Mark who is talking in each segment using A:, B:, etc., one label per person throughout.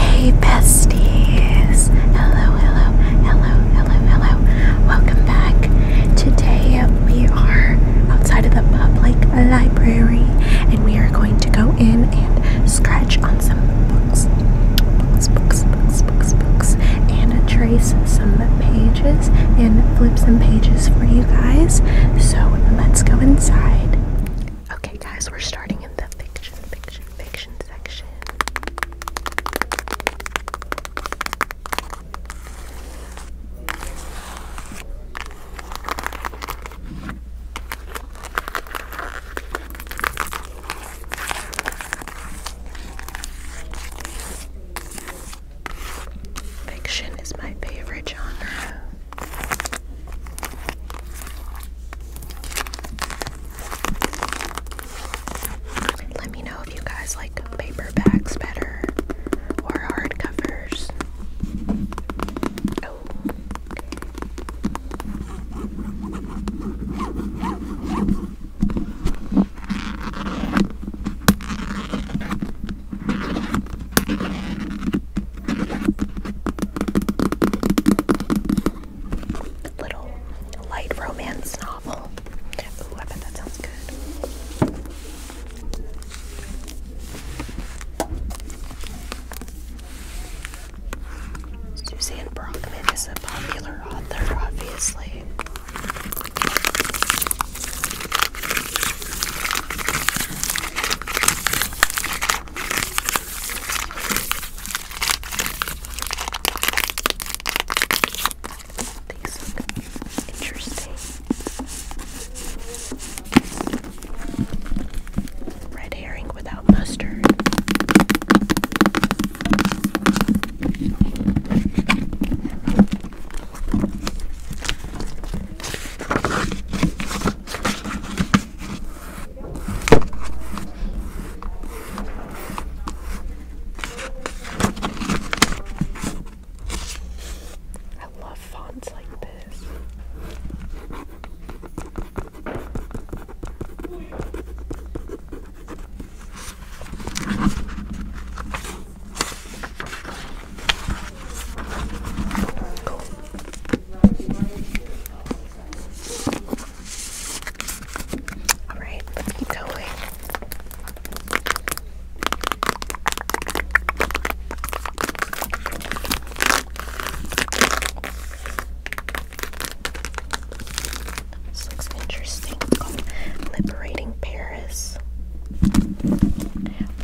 A: Hey besties! Hello, hello, hello, hello, hello. Welcome back. Today we are outside of the public library and we are going to go in and scratch on some books. Books, books, books, books, books. And trace some pages and flip some pages for you guys. So let's go inside. Okay, guys, we're starting in the fiction, fiction, fiction section. Fiction is my favorite genre. Let me know if you guys like paper better or hardcovers. Oh, Little light romance novel. Ooh, that sounds good. Suzanne Brockman is a popular author, obviously. These look interesting. Red herring without mustard. I love fonts like this. Cool. All keep going. This looks interesting. Liberating Paris.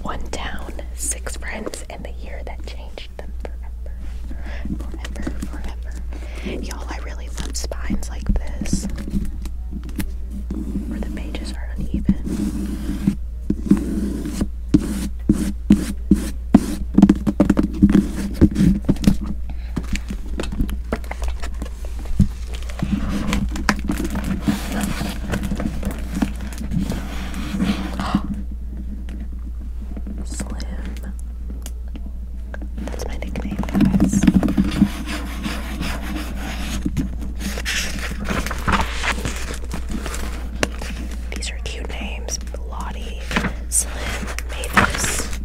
A: One town, six friends, and the year that changed Y'all, I really love spines like this. Where the pages are uneven. Slim. That's my nickname, guys. These are cute names. Lottie, Slim, Mavis.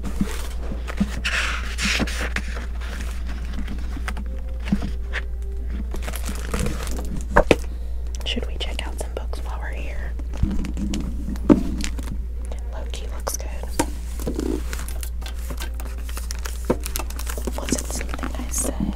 A: Should we check out books while we're here. Loki looks good. Was it something I said?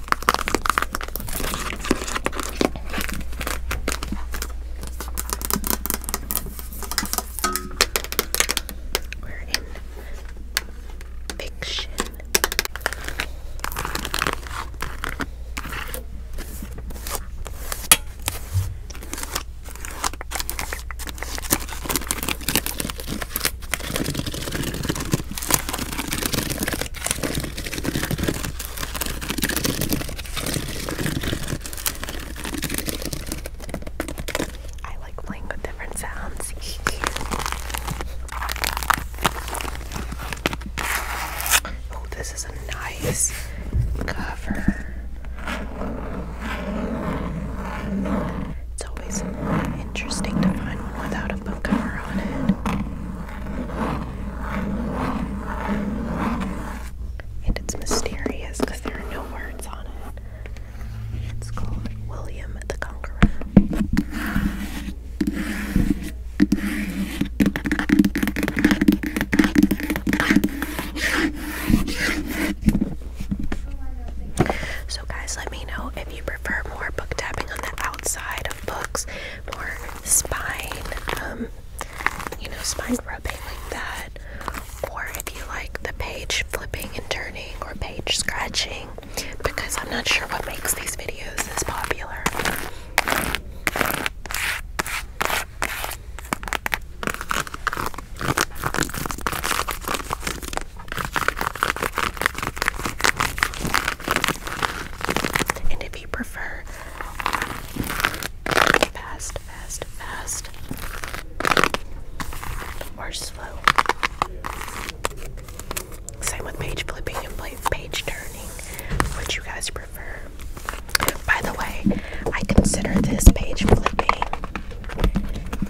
A: We're in fiction. I like playing with different sounds. oh, this is a nice cover. It's always interesting to find one without a book cover on it. And it's mysterious because there are no words on it. It's called William the Conqueror. So, guys, let me know if you prefer more book tapping on the outside of books more spine, um, you know, spine rubbing like that. Or if you like the page flipping and turning or page scratching, because I'm not sure what makes these videos this popular. And if you prefer Fast, fast, fast. Or slow. Same with page flipping and page turning. Which you guys prefer. By the way, I consider this page flipping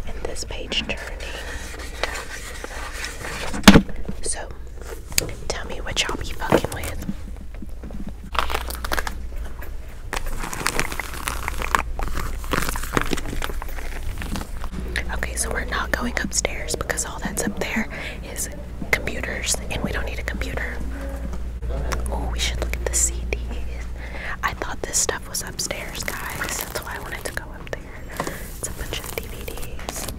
A: and this page turning. So Tell me what y'all be fucking with. Okay, so we're not going upstairs because all that's up there is computers and we don't need a computer. Oh, we should look at the CDs. I thought this stuff was upstairs, guys. That's why I wanted to go up there. It's a bunch of DVDs.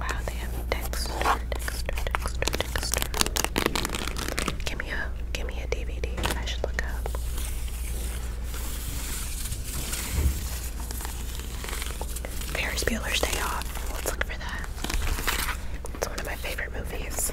A: Wow, they have texture, texture, texture, texture. Give me a, give me a DVD. I should look up. Ferris Bueller's Day Off. Let's look for that. It's one of my favorite movies.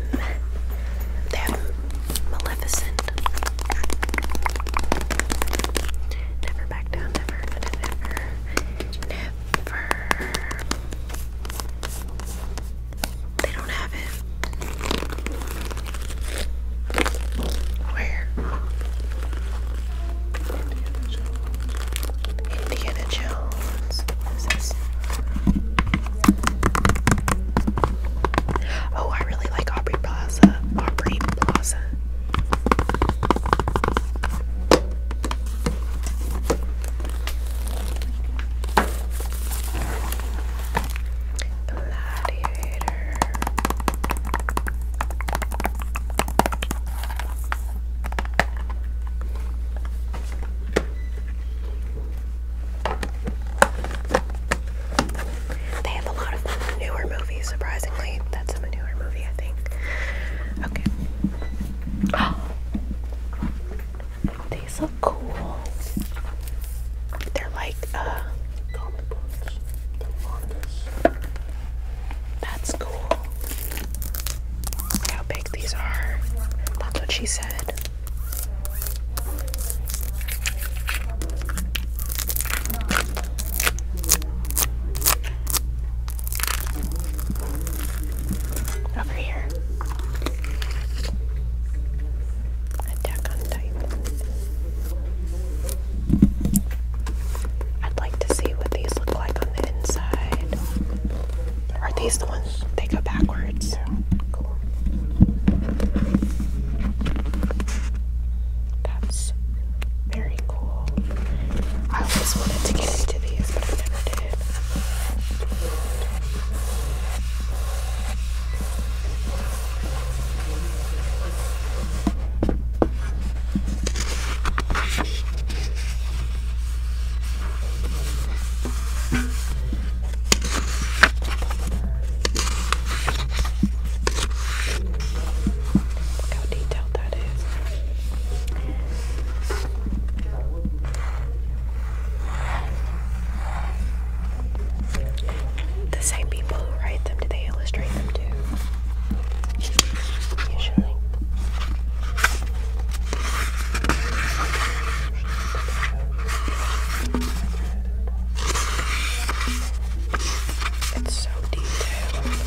A: they have Maleficent. Never back down, never, never, never. They don't have it. Where? Indiana Jones. Oh, I really like Aubrey Plaza. Aubrey Plaza. Gladiator. They have a lot of newer movies, surprisingly. That's a newer movie, I think. Okay. These look cool. They're like uh, That's cool. Look how big these are. That's what she said. Over here. Attack on Titan. I'd like to see what these look like on the inside. Are these the ones they go backwards? Cool. That's very cool. I always wanted to get into these, but I never did. Look how detailed that is. The same people who write them, do they illustrate them too? Usually. It's so detailed.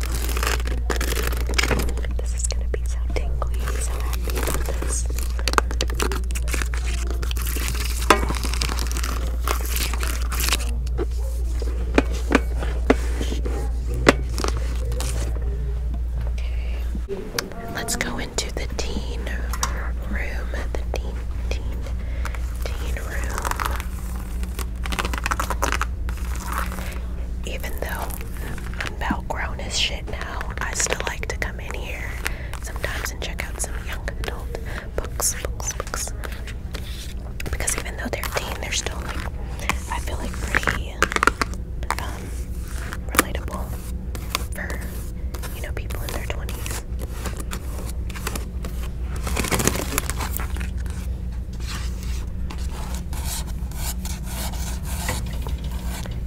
A: This is gonna be so tingly, so happy Okay. Let's go into the teen room. The teen, teen, teen room. Even though I'm about grown as shit now. I still like to come in here sometimes and check out some young adult books, books, books. Because even though they're teen, they're still like, I feel like pretty um, relatable for, you know, people in their 20s.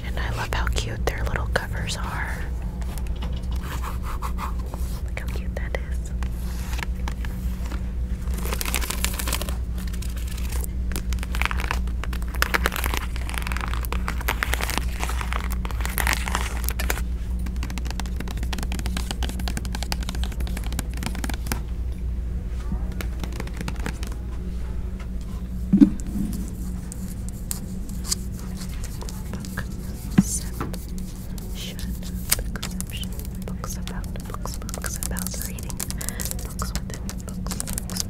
A: And I love how cute their little covers are. how cute that is. Book section, book books about, books, books about reading, books within books, books, books.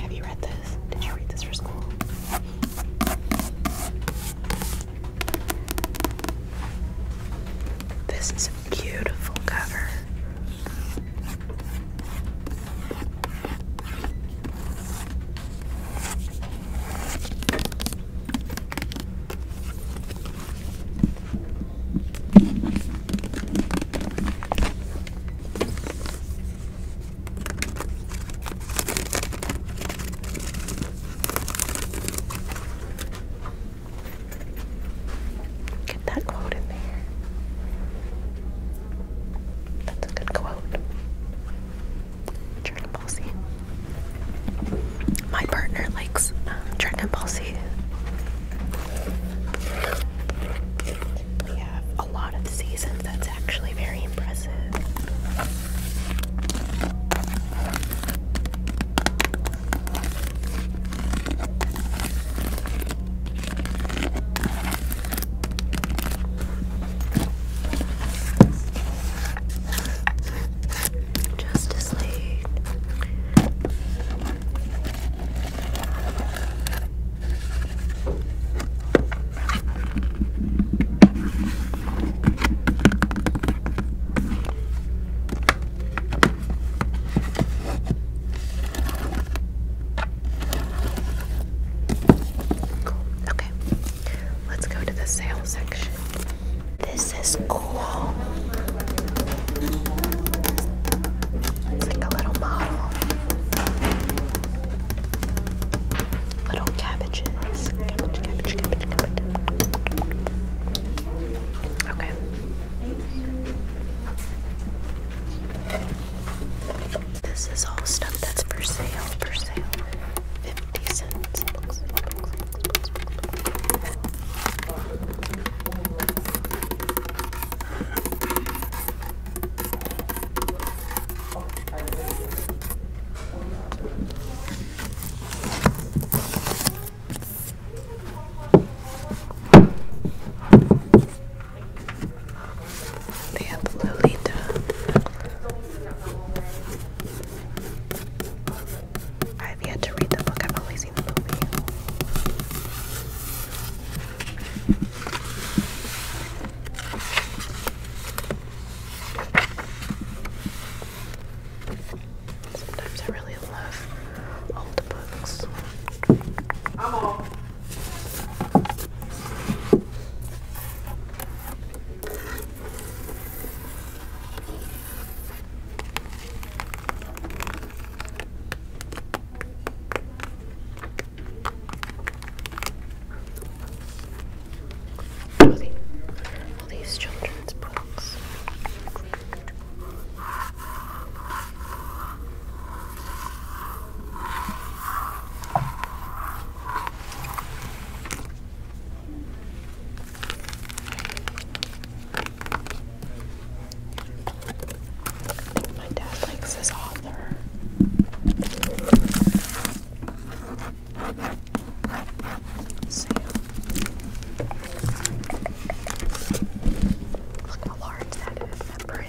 A: Have you read this? Did you read this for school? This is a beautiful cover. Get that quote in there. That's a good quote. Dragon Ball My partner likes um, Dragon We have a lot of seasons. That's actually very impressive. Justice League. Okay. Let's go to the sale section. This is cool. It's like a little model little cabbages. Okay. This is all stuff that's for sale, for sale. 50 cents. They Lolita. I've yet to read the book, I've only seen the movie. Sometimes I really love old books. I'm all, these children's books. My dad likes this author. So look how large that is, that print.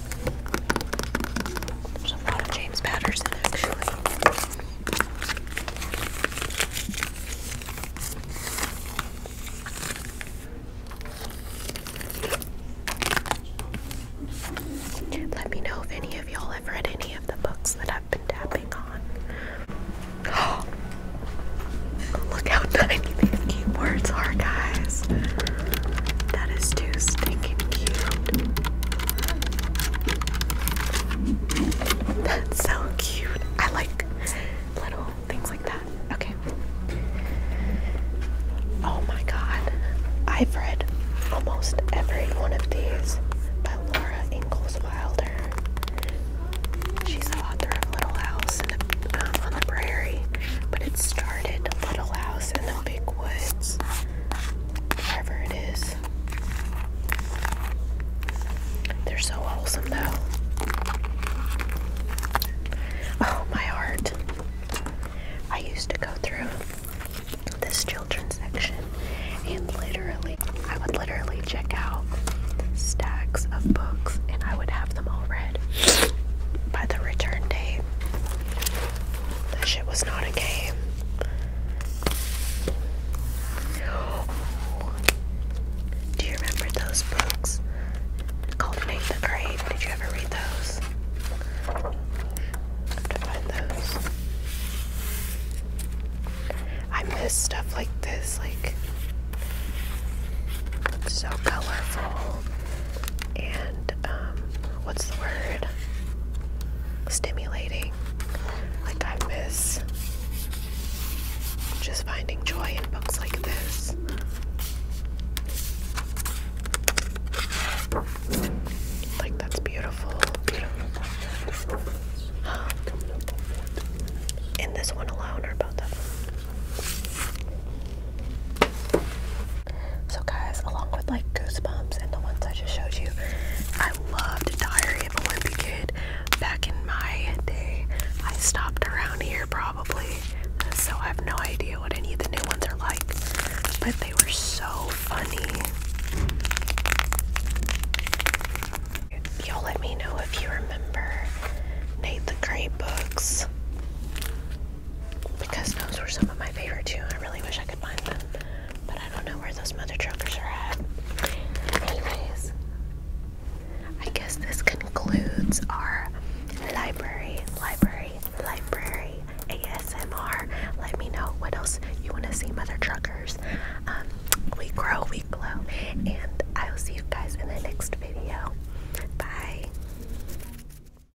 A: There's a lot of James Patterson actually. Let me know if any of y'all have read any of the books that I've been tapping on. look how tiny these keyboards are, guys. That is too sticky cute. That's so cute. I like little things like that. Okay. Oh my god. I've read almost every one of these by Laura Ingalls Wilder. She's the author of Little House um, on the Prairie, but it started Little House in the Olympic Woods, wherever it is. They're so wholesome, though. Oh, my heart. I used to go through this children's section and literally, I would literally check out stacks of books and I would have them all read by the return date. That shit was not a game. Do you remember those books called Nate the Great? Did you ever read those. I miss stuff like this, like so colorful and um, what's the word? Stimulating. Like, I miss just finding joy in books like this. Like, that's beautiful. Beautiful. this one alone, or both of so guys, along with like Goosebumps and the ones I just showed you, I loved Diary of a Wimpy Kid. Back in my day, I stopped around here probably, so I have no idea what any of the new ones are like. But they were so funny. Y'all let me know if you remember Nate the Great books because those were some of my favorite too. I really wish I could find them, but I don't know where those mother truckers are at. Anyways, I guess this concludes our library, library, library ASMR. Let me know what else you want to see, mother truckers. Um, we grow, we glow, and I will see you guys in the next video. Bye.